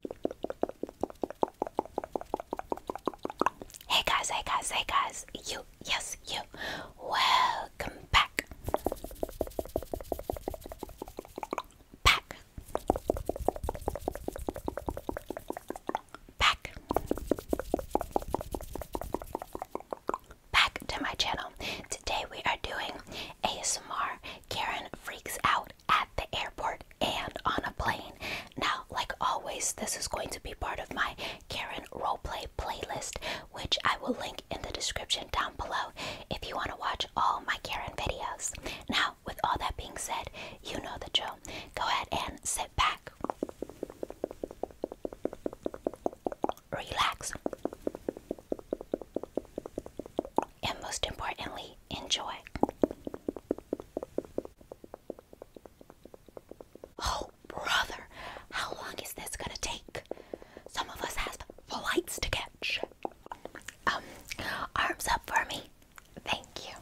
Hey guys, hey guys, hey guys, you, yes, you, welcome back. Back. Back. Back to my channel. Today we are doing ASMR Karen Freaks Out at the airport and on a plane. Now, like always, this is going to be part of my Karen Roleplay playlist, which I will link in the description down below if you want to watch all my Karen videos. Now, with all that being said, you know the drill. Go ahead and sit back, relax, and most importantly, enjoy. Oh, brother, how long is this gonna take? Some of us have flights to catch. Um, arms up for me. Thank you.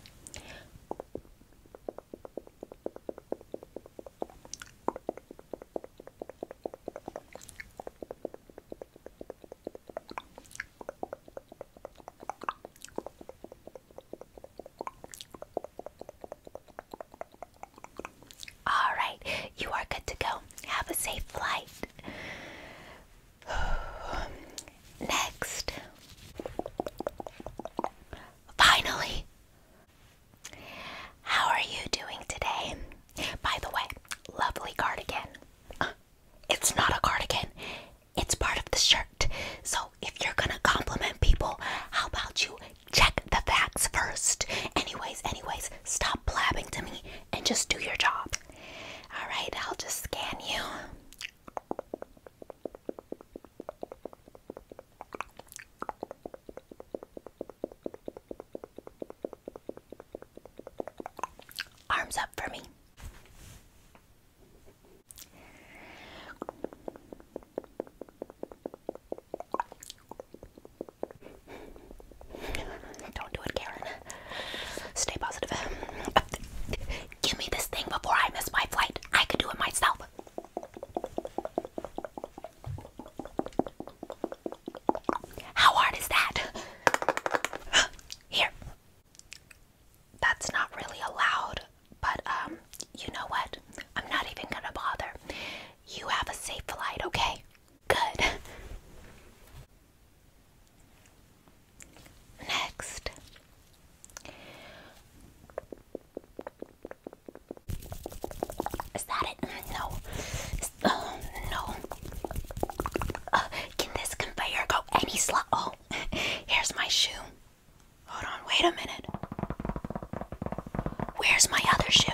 All right, you are good to go. Have a safe flight. Next. Finally. How are you doing today? By the way, lovely cardigan. It's not a cardigan it's part of the shirt. So if you're gonna compliment people, how about you check the facts first? Anyways, anyways, stop blabbing to me and just do your job. Alright, I'll just scan you. Arms up for me. Don't do it, Karen. Stay positive. Give me this thing before I miss my flight. I could do it myself. How hard is that? Here that's not really allowed, but um, you know what? I'm not even gonna bother. You have a safe flight, okay? Good. Next. Is that it? Mm, no. oh no. Uh, can this conveyor go any slow? Oh, here's my shoe. Hold on, wait a minute. Where's my other shoe?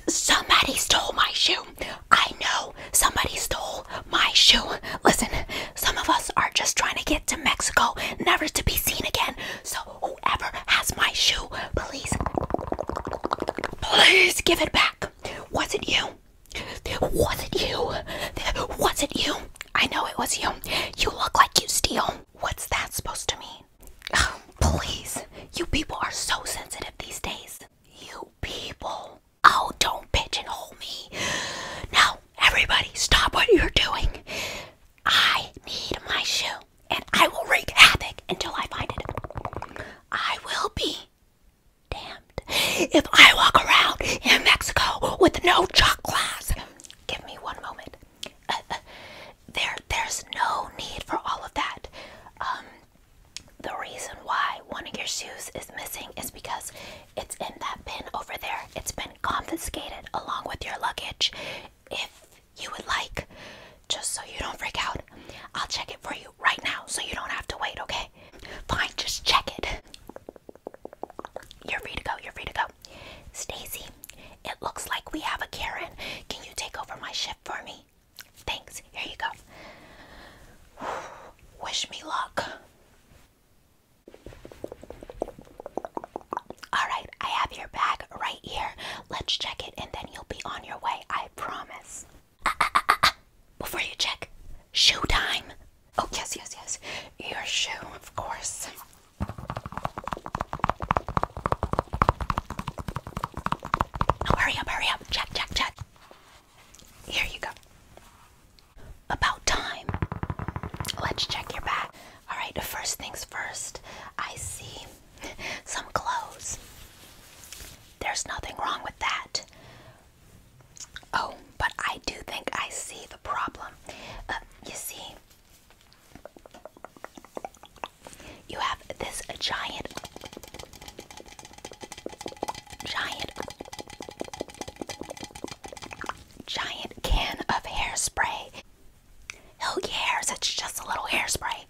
Somebody stole my shoe. I know somebody stole my shoe. Listen, some of us are just trying to get to Mexico, never to be seen again. So, whoever has my shoe, please, please give it back. Was it you? Was it you? Was it you? I know it was you. You look like you steal. What's that supposed to mean? Oh, please. You people are so sensitive these days. You people. Oh, don't and hold me. Now, everybody, stop what you're doing. I need my shoe, and I will wreak havoc until I find it. I will be damned if I walk around in Mexico with no chocolates. Give me one moment. Uh, uh, there, there's no need for all of that. Um, the reason why one of your shoes is missing is because it's in that bin over there. It's been confiscated along with your luggage. If you would like, just so you don't freak out, I'll check it for you right now so you don't have to wait, okay? fine, just check it. You're free to go, you're free to go. Stacy, it looks like we have a Karen. Can you take over my shift for me? Thanks, here you go. Wish me luck. Alright, I have your bag right here. Let's check it and then you'll be on your way, I promise uh, uh, uh, uh. before you check, shoe time. Oh, yes, yes, yes. Your shoe, of course. Now, hurry up, hurry up. Check, check, check. Here you go. About time. Let's check your bag. All right, first things first, I see some clothes. There's nothing wrong with that. Oh, but I do think I see the problem. Uh, you see, you have this giant, giant, giant can of hairspray. Hilky hairs, it's just a little hairspray.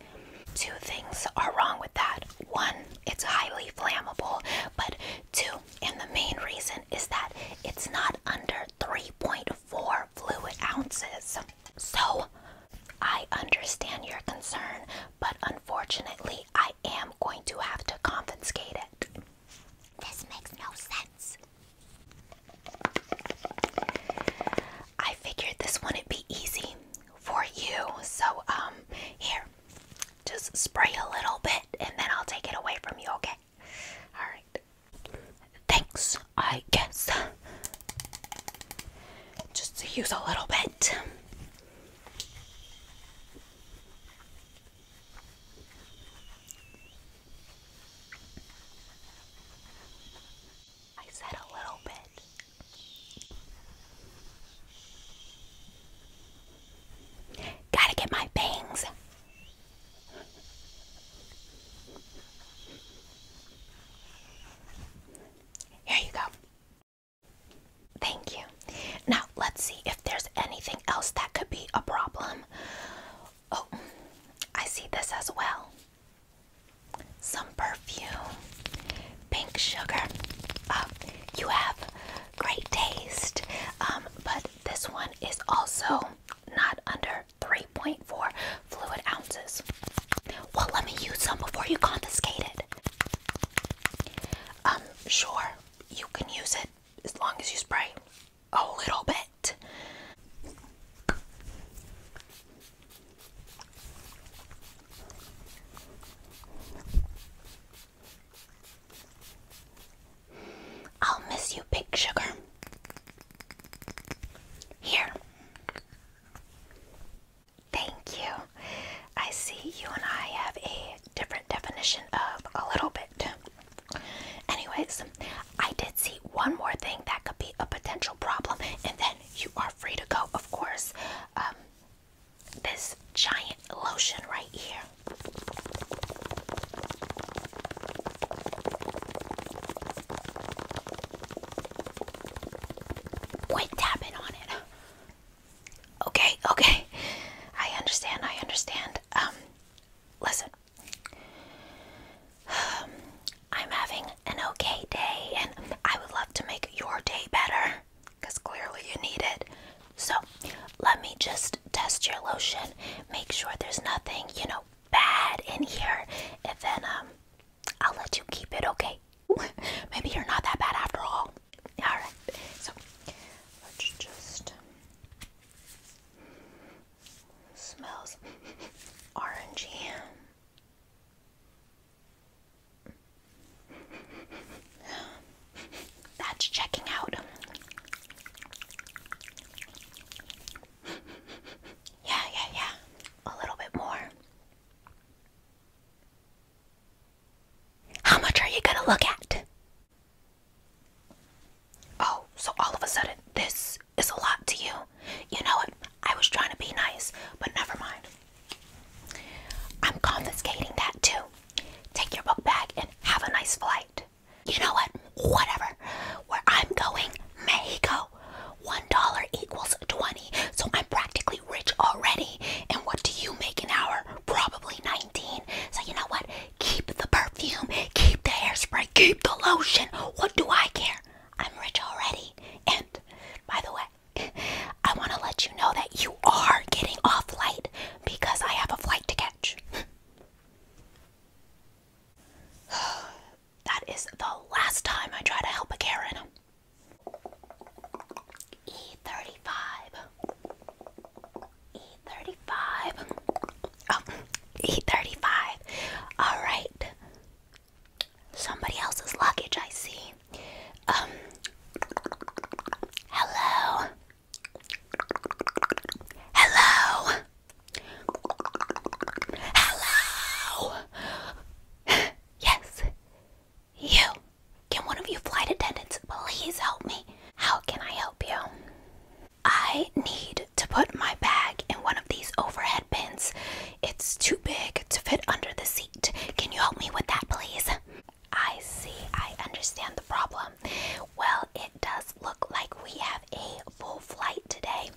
Two things are wrong with that. One, it's highly flammable, but two, and the main reason is that it's not under 3.4 fluid ounces. So I understand your concern, but unfortunately, I am going to have to confiscate it. This makes no sense. I figured this wouldn't be easy for you, so um, here, just spray a little bit and then I'll take it away from you, okay? Alright. Thanks, I guess. Just use a little bit. I said a little bit. Gotta get my bangs. Here you go. Thank you. Now, let's see if there's anything else that could be a problem. Oh, I see this as well. Some perfume, pink sugar. Oh, you have great taste. Um, but this one is also not under 3.4 fluid ounces. Well, let me use some before you confiscate it. Um, sure, you can use it as long as you spray a little bit. I'll miss you, Big Sugar. Here. Thank you. I see you and I have a different definition of a little bit. Anyways, I did see one more thing that could be a potential problem, and then you are free to go, of course. Um, this giant lotion right here. Quit tapping on it. Okay, okay. I understand, I understand. Um, listen. I'm having an okay day, and I would love to make your day better because clearly you need it. So let me just test your lotion, make sure there's nothing, you know, bad in here, and then um, I'll let you keep it, okay? Maybe you're not that bad after all. Alright, so let's just. Smells orangey. That's checking out. Yeah, yeah, yeah. A little bit more. How much are you gonna look at? Oh, so all of a sudden, this is a lot to you. You know what? I was trying to be nice, but never mind. I'm confiscating that too take your book bag, and have a nice flight. You know what? Whatever. Where I'm going, Mexico, $1 equals 20. So I'm practically rich already. And what do you make an hour? Probably 19. So you know what? Keep the perfume, keep the hairspray, keep the lotion. What do I care? I'm rich already. And by the way, I want to let you know that you are getting off light because I have a flight to catch. that is the last time I try to help a Karen. E35. E35. E35. All right. Somebody else's luggage, I see. Um, hello. Hello. Hello. yes. You. Can one of you flight attendants please help me? How can I help you? I need to put my bag in one of these overhead bins. It's too big to fit under the seat. Can you help me with that, please? I see. I understand the problem. Well, it does look like we have a full flight today.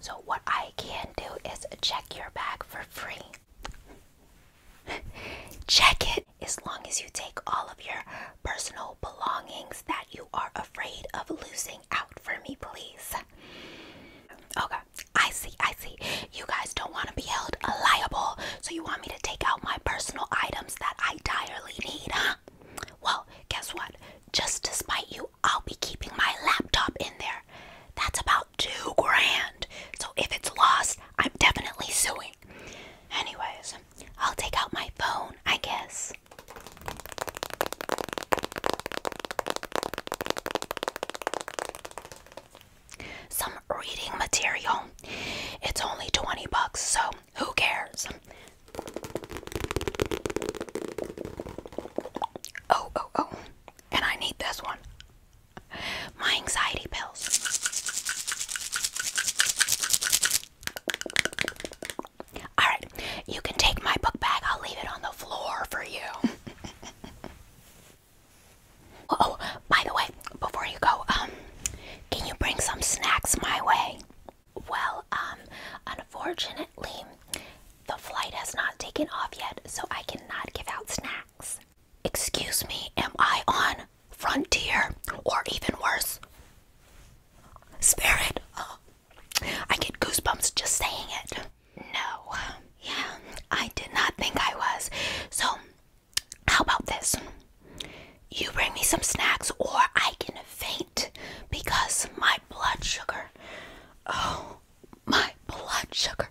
So, what I can do is check your bag for free. check it as long as you take all of your personal belongings that you are afraid of losing out for me, please. Okay, I see, I see. You guys don't want to be held liable, so you want me to take out my personal items that I direly need, huh? Well, guess what? Just to spite you, I'll be keeping my laptop in there. That's about two grand. So if it's lost, I'm definitely suing. Anyways, I'll take out my phone, I guess. Some reading material. It's only 20 bucks, so who cares? Oh, oh, oh. And I need this one. My anxiety pills. Alright, you can take my book bag. I'll leave it on the floor for you. oh, oh. By the way, before you go, um, can you bring some snacks my way? Well, um, unfortunately, the flight has not taken off yet, so I cannot give out snacks. Excuse me, am I on Frontier or even worse? Spirit! Oh, I get goosebumps just saying it. No, yeah, I did not think I was. So, how about this? You bring me some snacks, or I can faint because my blood sugar. Oh, my blood sugar.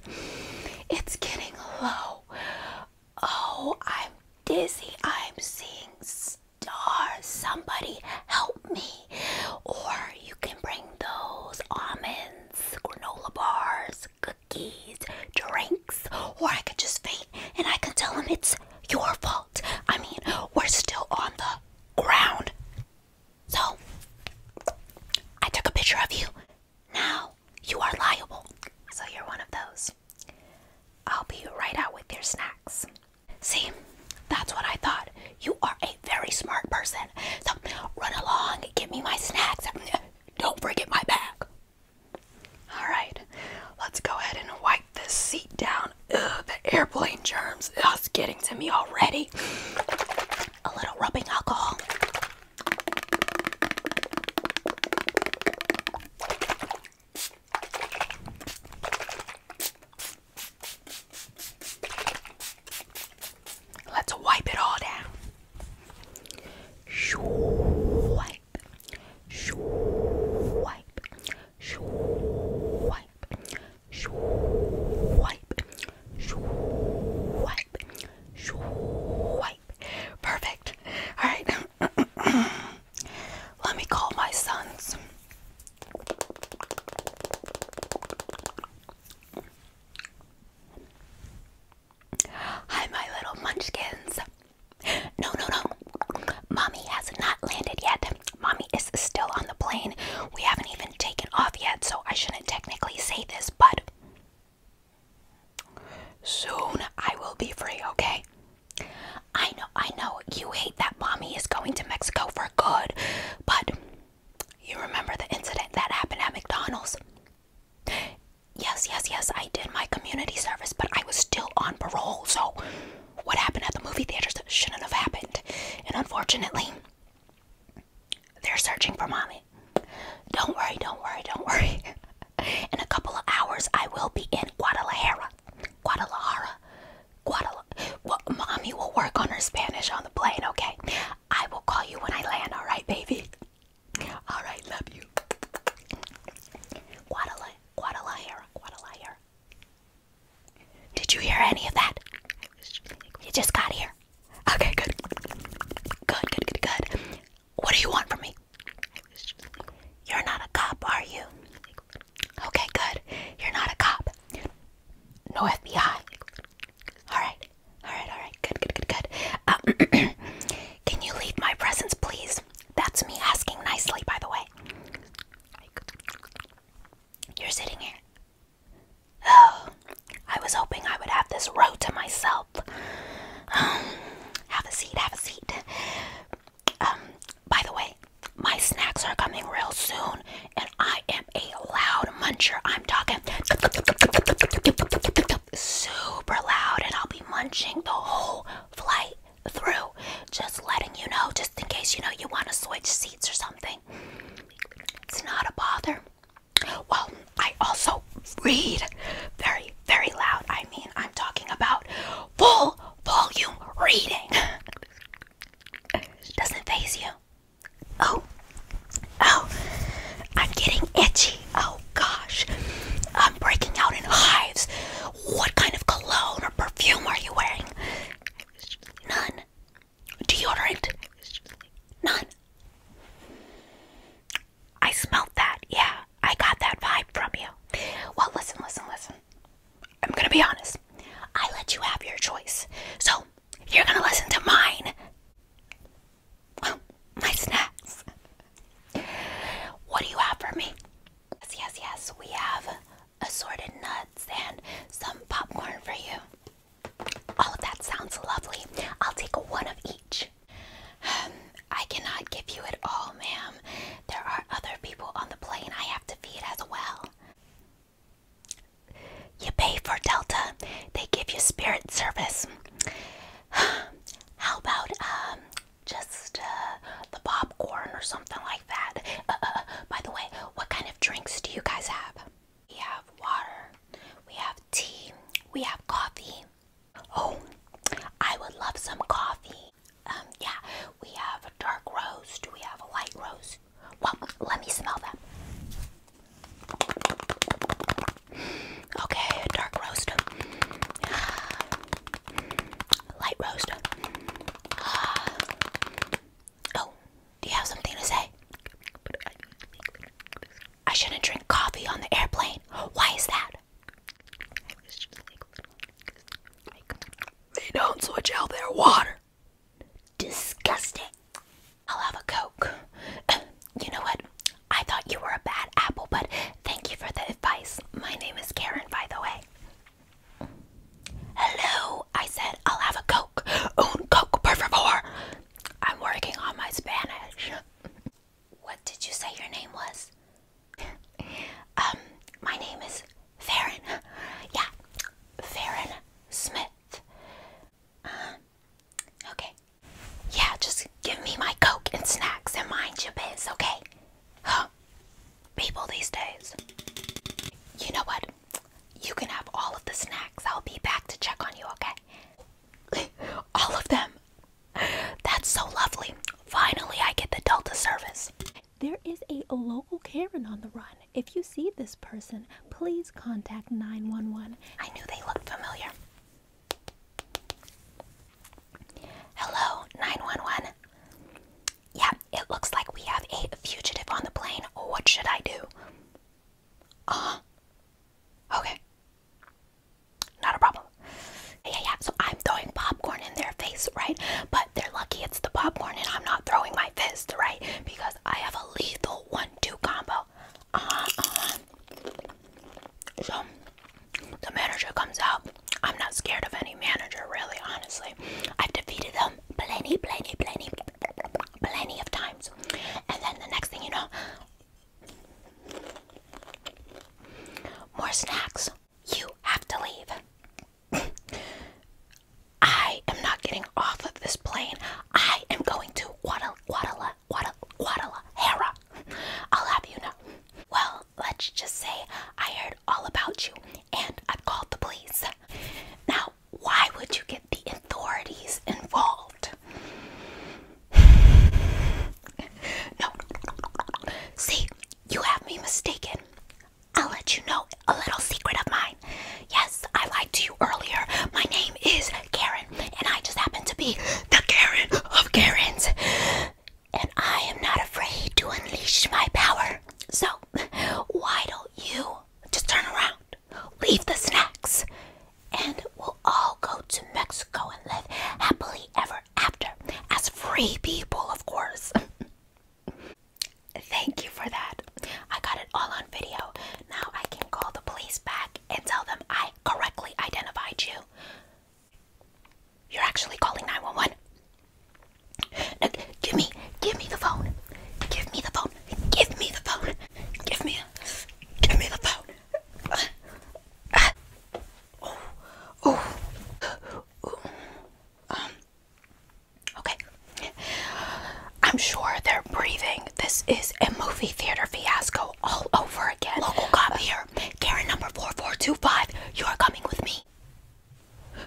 It's getting low. Oh, I'm dizzy. I'm seeing stars. Somebody help me. Or you can bring those almonds, granola bars, cookies, drinks, or I could just faint and I can tell him it's your fault. I mean, we're still on the ground. So, I took a picture of you. Now, you are liable. So, you're one of those. I'll be right out with your snacks. See, that's what I thought. You are a very smart person. So, run along, give me my snacks. Don't forget my bag. Alright, let's go ahead and wipe this seat down. the airplane germs. Ugh, it's getting to me already. A little rubbing alcohol. Let's wipe it all down. Shoo, swipe, swipe, swipe, swipe, swipe, swipe. Perfect. All right. Let me call my sons. Hi, my little munchkins. No, no, no. Mommy has not landed yet. Mommy is still on the plane. We haven't even taken off yet, so I shouldn't technically say this, but soon I will be free, okay? I know, I know you hate that mommy is going to Mexico for good, but you remember the incident that happened at McDonald's? Yes, yes, yes, I did my community service but I was still on parole, so what happened at the movie theaters shouldn't have happened. And unfortunately, they're searching for mommy. Don't worry, don't worry, don't worry. in a couple of hours, I will be in Guadalajara. Guadalajara. Guadalajara. mommy will work on her Spanish on the plane, okay? I will call you when I land, alright, baby? Alright, love you. Guadalajara. Guadalajara, Guadalajara. Did you hear any of that? You just got here. Okay, good. Good, good, good, good. What do you want from me? You're not a cop, are you? Okay, good. You're not a cop. No FBI. Alright, alright, alright. Good, good, good, good. Um, Can you leave my presence, please? That's me asking nicely, by the way. You're sitting here. Oh, I was hoping I would have this row to myself. Um, have a seat, have a seat. Um, by the way, my snacks are coming real soon, and I am a loud muncher. I'm talking super loud, and I'll be munching the whole flight through. Just letting you know, just in case you know you want to switch seats or something. It's not a bother. Well, I also read very, very loud. I mean, I'm talking about full volume reading. Doesn't phase you. Oh, oh, I'm getting itchy. Oh gosh, I'm breaking out in hives. What kind of cologne or perfume are you wearing? None. Deodorant? None. I smelled that. Yeah, I got that vibe from you. Well, listen, listen, listen. I'm gonna be honest. I let you have your choice. So, you're gonna listen to mine. my snacks. What do you have for me? Yes, yes, yes, we have assorted nuts and some popcorn for you. Oh, that sounds lovely. I'll take one of each. Um, I cannot give you it all, ma'am. There are other people on the plane I have to feed as well. You pay for Delta, they give you spirit service. How about um, just uh, the popcorn or something like that. Uh, uh, uh, by the way, what kind of drinks do you guys have? We have water, we have tea, we have coffee. Oh, I would love some coffee. Um, yeah, we have a dark roast, we have a light roast. Well, let me smell them. Okay, dark roast. Light roast. Ah. oh, do you have something to say? I shouldn't drink coffee on the airplane. Why is that? They don't switch out their water. Disgusting. I'll have a Coke. you know what? I thought you were a bad apple, but thank you for the advice. My name is Karen, by the way. Hello, I said, I'll have a Coke. Un Coke, por favor. I'm working on my Spanish. what did you say your name was? um, my name is Farron. yeah, Farron Smith. Uh, okay. Yeah, just give me my Coke and snacks and mind your business, okay? People these days. You know what? You can have all of the snacks. I'll be back to check on you, okay? all of them. That's so lovely. Finally, I get the Delta service. There is a local Karen on the run. If you see this person, please contact 911. I knew they looked familiar. Hello, 911. Yeah, it looks like we have a fugitive on the plane. What should I do? Uh Okay. Not a problem. Yeah, yeah, so I'm throwing popcorn in their face, right? But they're lucky it's the popcorn and I'm not throwing my fist, right? Because I have a lethal one two combo. Uh huh. Uh the manager comes out. I'm not scared of any manager, really, honestly. I've defeated them plenty, plenty, plenty, plenty of times. And then the next thing you know, more snacks. You have to leave. I am not getting off of this plane. I am going to Guadalajara. Guadal Guadal Guadal I'll have you know. Well, let's just say I heard all about you and I called the police. Now, why would you get the authorities involved? no, see, you have me mistaken. I'll let you know a little secret of mine. Yes, I lied to you earlier. My name is Karen, and I just happen to be the Karen of Karens and I am not afraid to unleash my power. So, why don't you just turn around, leave the snacks, and we'll all go to Mexico and live happily ever after as free people, of course. Thank you for that. I got it all on video. Now I can call the police back and tell them I correctly identified you. You're actually calling 911. give me, give me the phone. Give me the phone. Give me the phone. Give me, give me the phone. Um. Okay. I'm sure they're breathing. This is a movie theater fiasco all over again. Local cop uh, here. Karen number 4425. You are coming with me.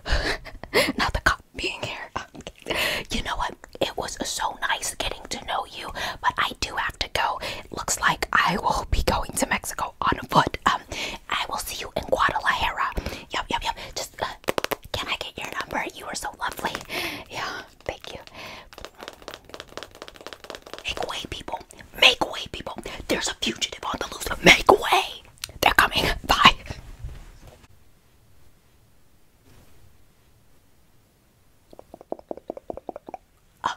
Not the cop being here. you know what? It was so nice getting to know you, but I do have to go. It looks like I will be going to Mexico on foot. Um, I will see you in Guadalajara. Yup, yup, yup. Just uh, can I get your number? You were so lovely. Yeah, thank you. Make way, people. Make way, people. There's a fugitive on the loose. Make way. They're coming. Bye. Oh,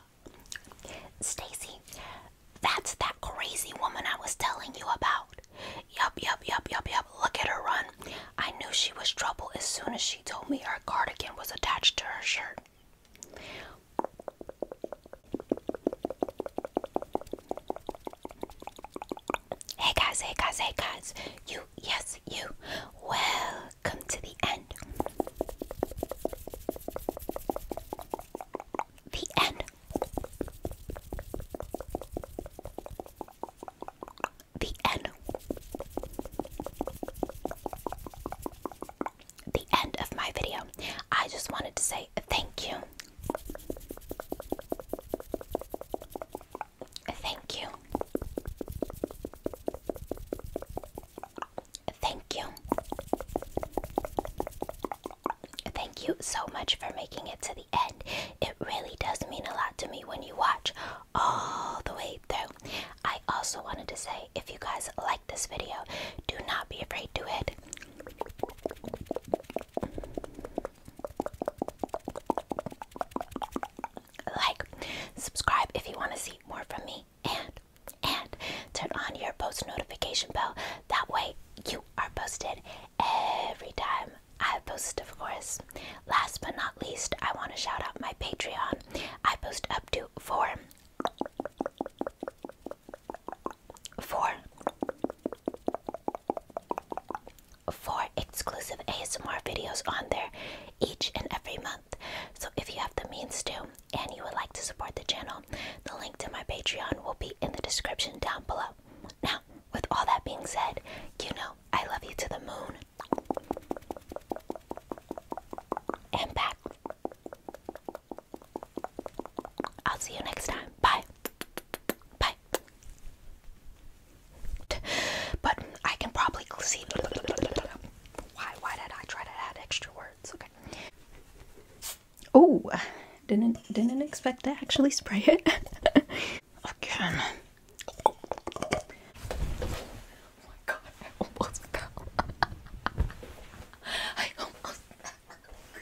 Stacy, that's that crazy woman I was telling you about. Yup, yup, yup, yup, yup. Look at her run. I knew she was trouble as soon as she told me her cardigan was attached to her shirt. Hey guys, hey guys, hey guys. You, yes, you. Welcome to the end. The end. The end. The end of my video. I just wanted to say thank you Thank you. Thank you. Thank you so much for making it to the end. It really does mean a lot to me when you watch all the way through. I also wanted to say if you guys like this video, do not be afraid to hit like, subscribe if you want to see more from me, and and turn on your post notification bell. That way, you are posted every time I post, of course. Last but not least, I want to shout out my Patreon. I post up to four Four. Four exclusive ASMR videos on there each and every month. So if you have the means to and you would like to support the channel, the link to my Patreon will be in the description down below. Now, with all that being said, you know I love you to the moon. And back. I'll see you next time. Bye. Bye. But I can probably see. Why? Why did I try to add extra words? Okay. Oh, didn't didn't expect to actually spray it again. Oh my god! I almost